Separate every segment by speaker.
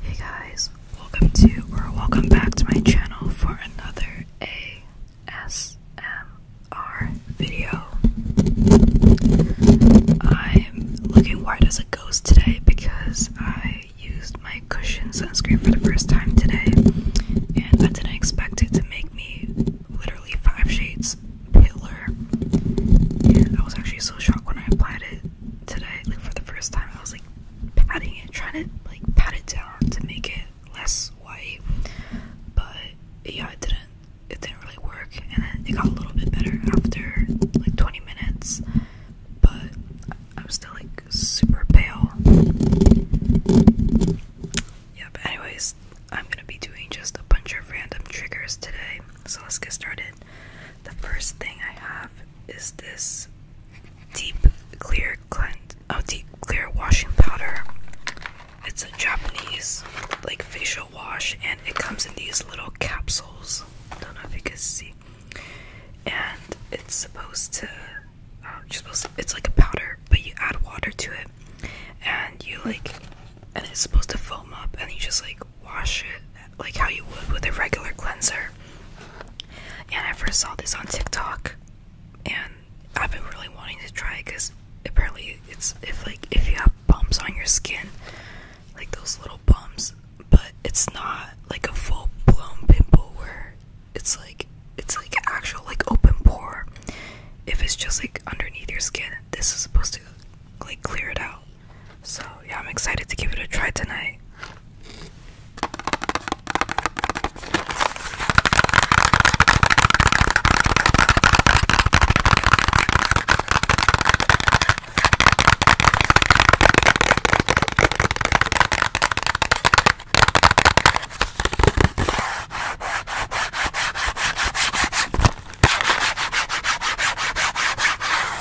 Speaker 1: Hey guys, welcome to or welcome back to my channel for another ASMR video. I'm looking white as a ghost today because I used my cushion sunscreen for the first time today and I didn't expect it to make me literally five shades paler. I was actually so shocked when I applied it today, like for the first time, I was like patting it, trying to like pat it down to make it less white. But yeah, it didn't. It didn't really work, and then it got a little bit better after like 20 minutes. But I'm still like super pale. Yeah, anyways, I'm gonna be doing just a bunch of random triggers today. So let's get started. The first thing I have is this deep clear cleanse oh deep clear washing powder. It's a Japanese like facial wash and it comes in these little capsules. Don't know if you can see. And it's supposed to um, supposed it's like a powder, but you add water to it and you like and it's supposed to foam up and you just like wash it like how you would with a regular cleanser. And I first saw this on TikTok, and I've been really wanting to try it because apparently it's if like if you have bumps on your skin, like those little bumps, but it's not like a full blown pimple where it's like it's like actual like open pore. If it's just like underneath your skin, this is supposed to like clear it out. So, yeah, I'm excited to give it a try tonight.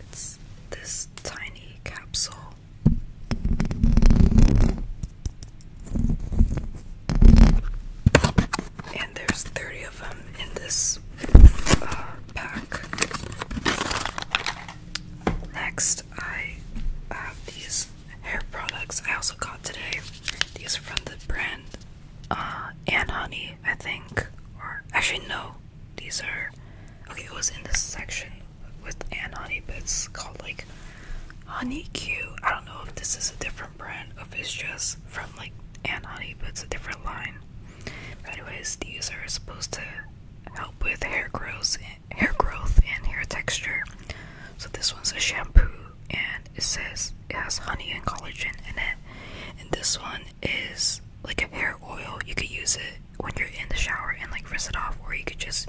Speaker 1: It's this tiny capsule. And there's 30 of them in this uh, pack. Next, I have these hair products I also got today. These are from the brand uh, and Honey, I think. Or actually, no, these are okay. It was in this section with and honey, bits called like Honey Q. I don't know if this is a different brand of it's just from like and honey, bits, a different line. But anyways, these are supposed to help with hair growth, hair growth and hair texture. So this one's a shampoo, and it says it has honey and collagen in it. And this one is like a hair oil. You could use it when you're in the shower and like rinse it off, or you could just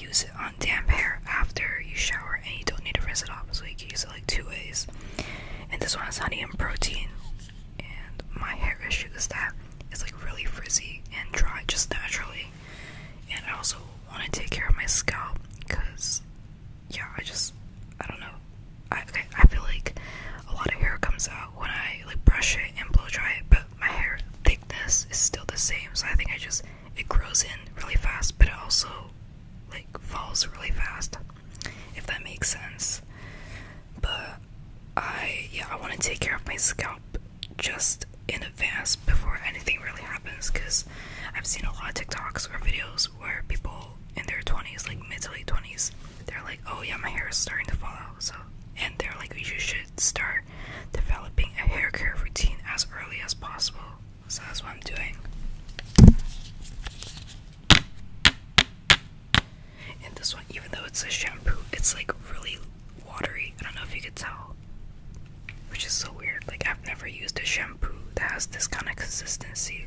Speaker 1: use it on damp hair after you shower and you don't need to rinse it off. So you can use it like two ways. And this one has honey and protein. And my hair issue is that it's like really frizzy and dry just naturally. And I also want to take care of my scalp because yeah, I just I don't know. I I feel like a lot of hair comes out when I like brush it and blow dry it, but my hair thickness is still the same, so I think I just it grows in really fast, but it also like falls really fast, if that makes sense. But I yeah, I want to take care of my scalp just in advance before anything really happens, because I've seen a lot of TikToks or videos where people in their 20s, like mid to late 20s, they're like, oh yeah, my hair is starting to fall out, so and they're like you should start developing a hair care routine as early as possible. So that's what I'm doing. And this one, even though it's a shampoo, it's like really watery. I don't know if you could tell. Which is so weird. Like I've never used a shampoo that has this kind of consistency.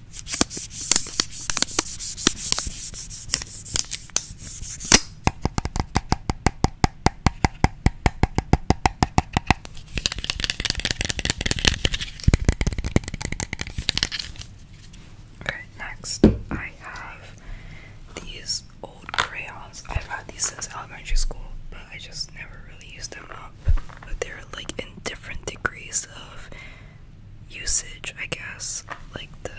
Speaker 1: Okay, next I have these old crayons. I've had these since elementary school, but I just never really used them up. But they're like in different degrees of usage, I guess. Like the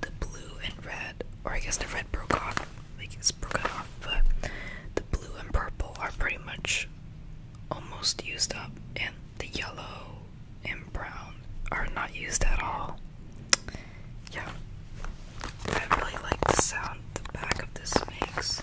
Speaker 1: the blue and red, or I guess the red broke off. Like it's broken off, but the blue and purple are pretty much almost used up, and the yellow and brown are not used at all. Yeah, I really like the sound the back of this makes.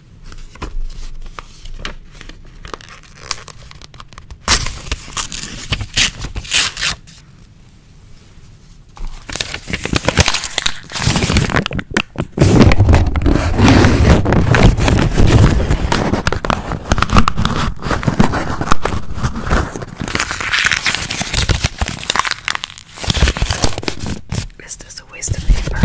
Speaker 1: This Is a waste of paper?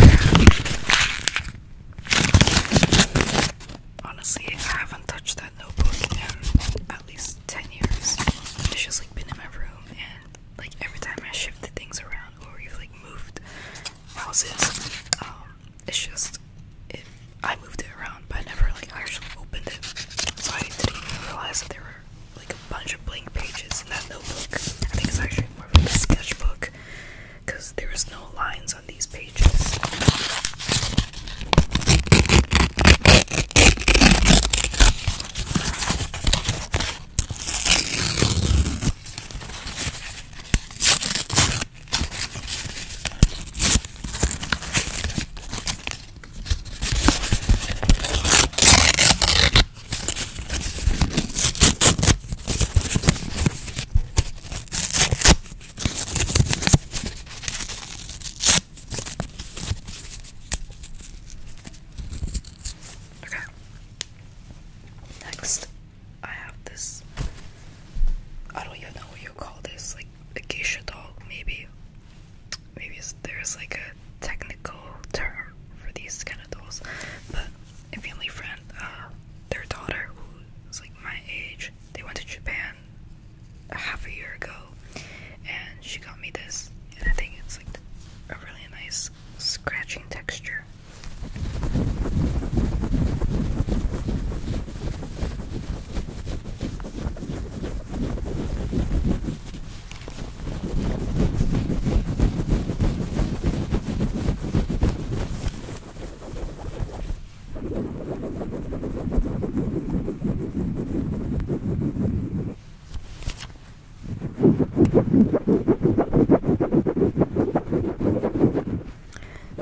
Speaker 1: Honestly, I haven't touched that notebook in at least 10 years. It's just like been in my room, and like every time I shifted things around or we've like moved houses, um, it's just it. I moved it around, but I never like actually opened it, so I didn't even realize that there were like a bunch of blank pages in that notebook. I think it's actually more of a sketchbook because there is no lines on these pages. Okay. Next, I have this. I don't even know what you call this. Like a geisha doll, maybe. Maybe there's like a technical term for these kind of dolls, but a family friend, uh, their daughter, who's like my age, they went to Japan a half a year ago, and she got me this, and I think it's like a really nice scratching texture.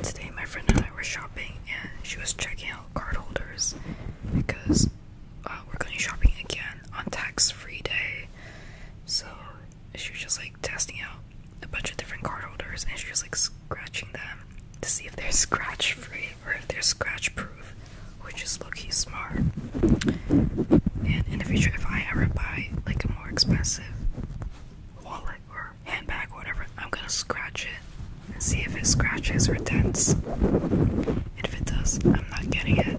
Speaker 1: Today, my friend and I were shopping, and she was checking out card holders because uh, we're going shopping again on tax free day. So, she was just like testing out a bunch of different card holders and she was like scratching them to see if they're scratch free or if they're scratch proof, which is low-key smart. And in the future, if I ever buy like a more expensive wallet or handbag or whatever, I'm gonna scratch it and see if it scratches or dents. if it does, I'm not getting it.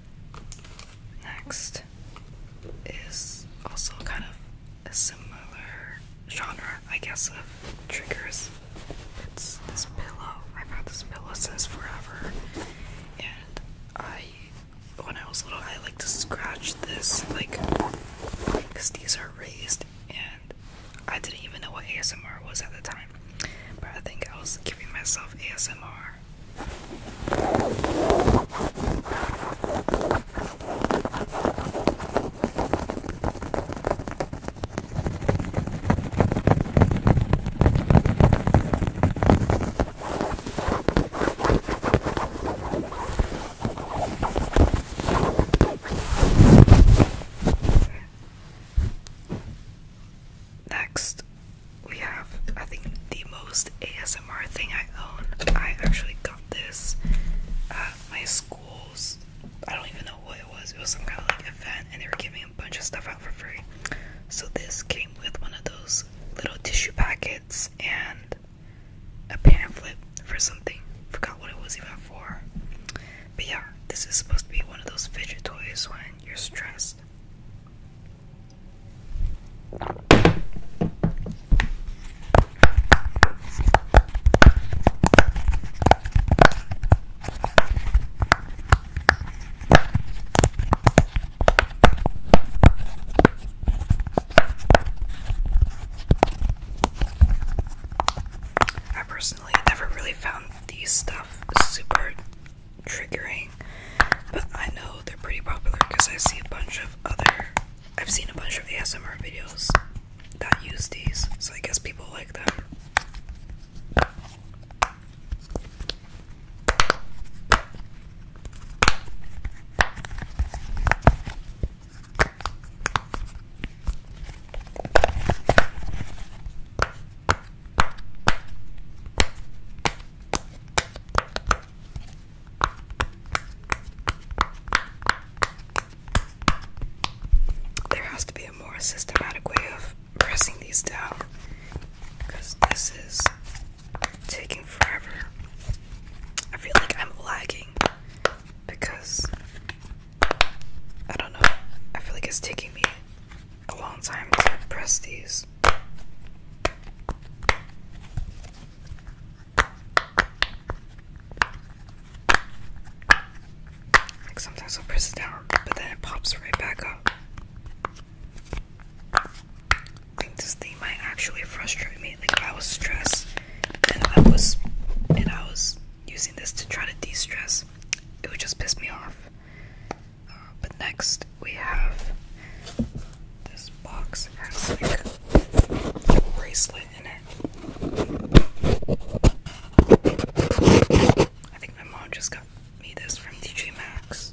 Speaker 1: Next is also kind of a similar genre, I guess, of triggers. It's this pillow. I've had this pillow since forever, and I, when I was little, I like to scratch this, like, because these are raised, and I didn't even know what ASMR was at the time but I think I was giving myself ASMR. Next, we have I think the most ASMR thing I own. I actually got this at my school's. I don't even know what it was. It was some kind of like event, and they were giving a bunch of stuff out for free. So this came with one of those little tissue packets and a pamphlet for something. Forgot what it was even for. But yeah, this is supposed to be one of those fidget toys when you're stressed I personally never really found these stuff super triggering, but I know they're pretty popular because I see a bunch of other. I've seen a bunch of the ASMR videos that use these, so I guess people like them. There has to be a more systematic way of pressing these down because this is taking forever. I feel like I'm lagging because I don't know. I feel like it's taking me a long time to press these. Like sometimes i press it down, but then it pops right back up. I think this thing might actually frustrate me. Like if I was stressed and I was and I was using this to try to de-stress, it would just piss me off. Uh, but next we have this box has like a bracelet in it. I think my mom just got me this from TJ Maxx.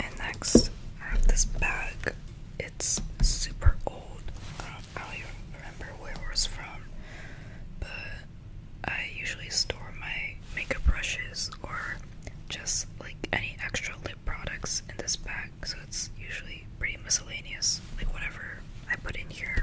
Speaker 1: And next, I have this bag. It's super old. I don't, even remember where it was from, but I usually store my makeup brushes or just like any extra lip products in this bag, so it's usually pretty miscellaneous, like whatever I put in here.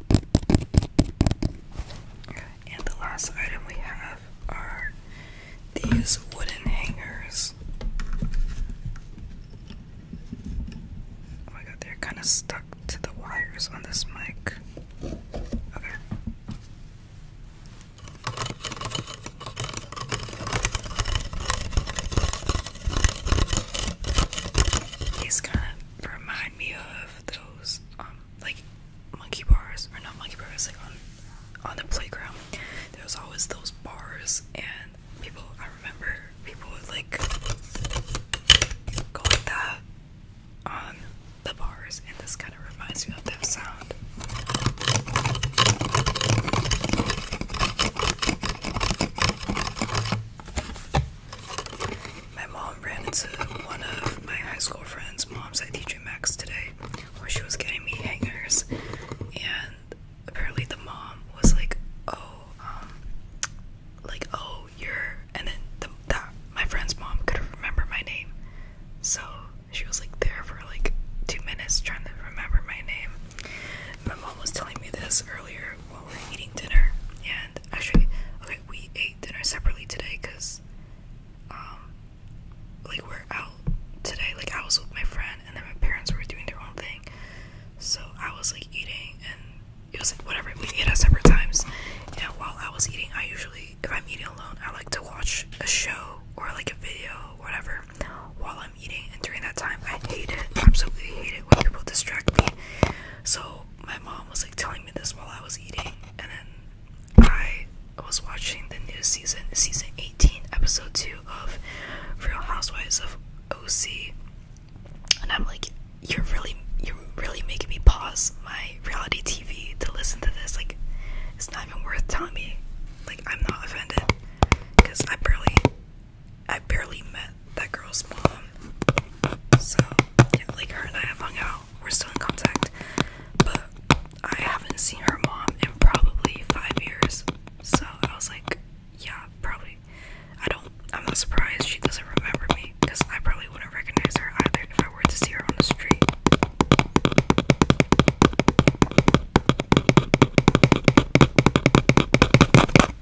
Speaker 1: And the last item we have are these wooden hangers. Oh my god, they're kind of stuck to the wires on this mic. Okay. These kind remind me of those um, like monkey bars or not monkey bars like on on the playground there was always those bars and people I remember people would like go like that on the bars and this kind of reminds me of that sound my mom ran into one of my high school friends' moms at TJ Maxx today where she was getting me hangers, and apparently the mom was like, "Oh, um, like oh you're," and then that my friend's mom couldn't remember my name, so she was like there for like two minutes trying to remember my name. My mom was telling me this earlier we were eating dinner, and actually, okay, we ate dinner separately today because, um, like we're out today. Like I was with my friend, and then my parents were doing their own thing, so I was like eating, and it was like whatever. We eat at separate times, and while I was eating, I usually, if I'm eating alone, I like to watch a show or like a video, or whatever, while I'm eating. And during that time, I hate it. Absolutely hate it when people distract me so my mom was like telling me this while I was eating, and then I was watching the new season, season 18, episode 2 of Real Housewives of OC, and I'm like, you're really, you're really making me pause my reality TV to listen to this. Like, it's not even worth telling me. Like, I'm not offended because I am barely I barely met that girl's mom. So, yeah, like her and I have hung out. We're still in contact. But I haven't seen her mom in probably five years. So I was like, yeah, probably. I don't, I'm not surprised she doesn't remember me because I probably wouldn't recognize her either if I were to see her on the street.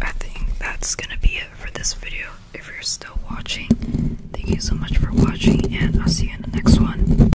Speaker 1: I think that's gonna be it for this video. If you're still watching, thank you so much for watching, and I'll see you in the next one.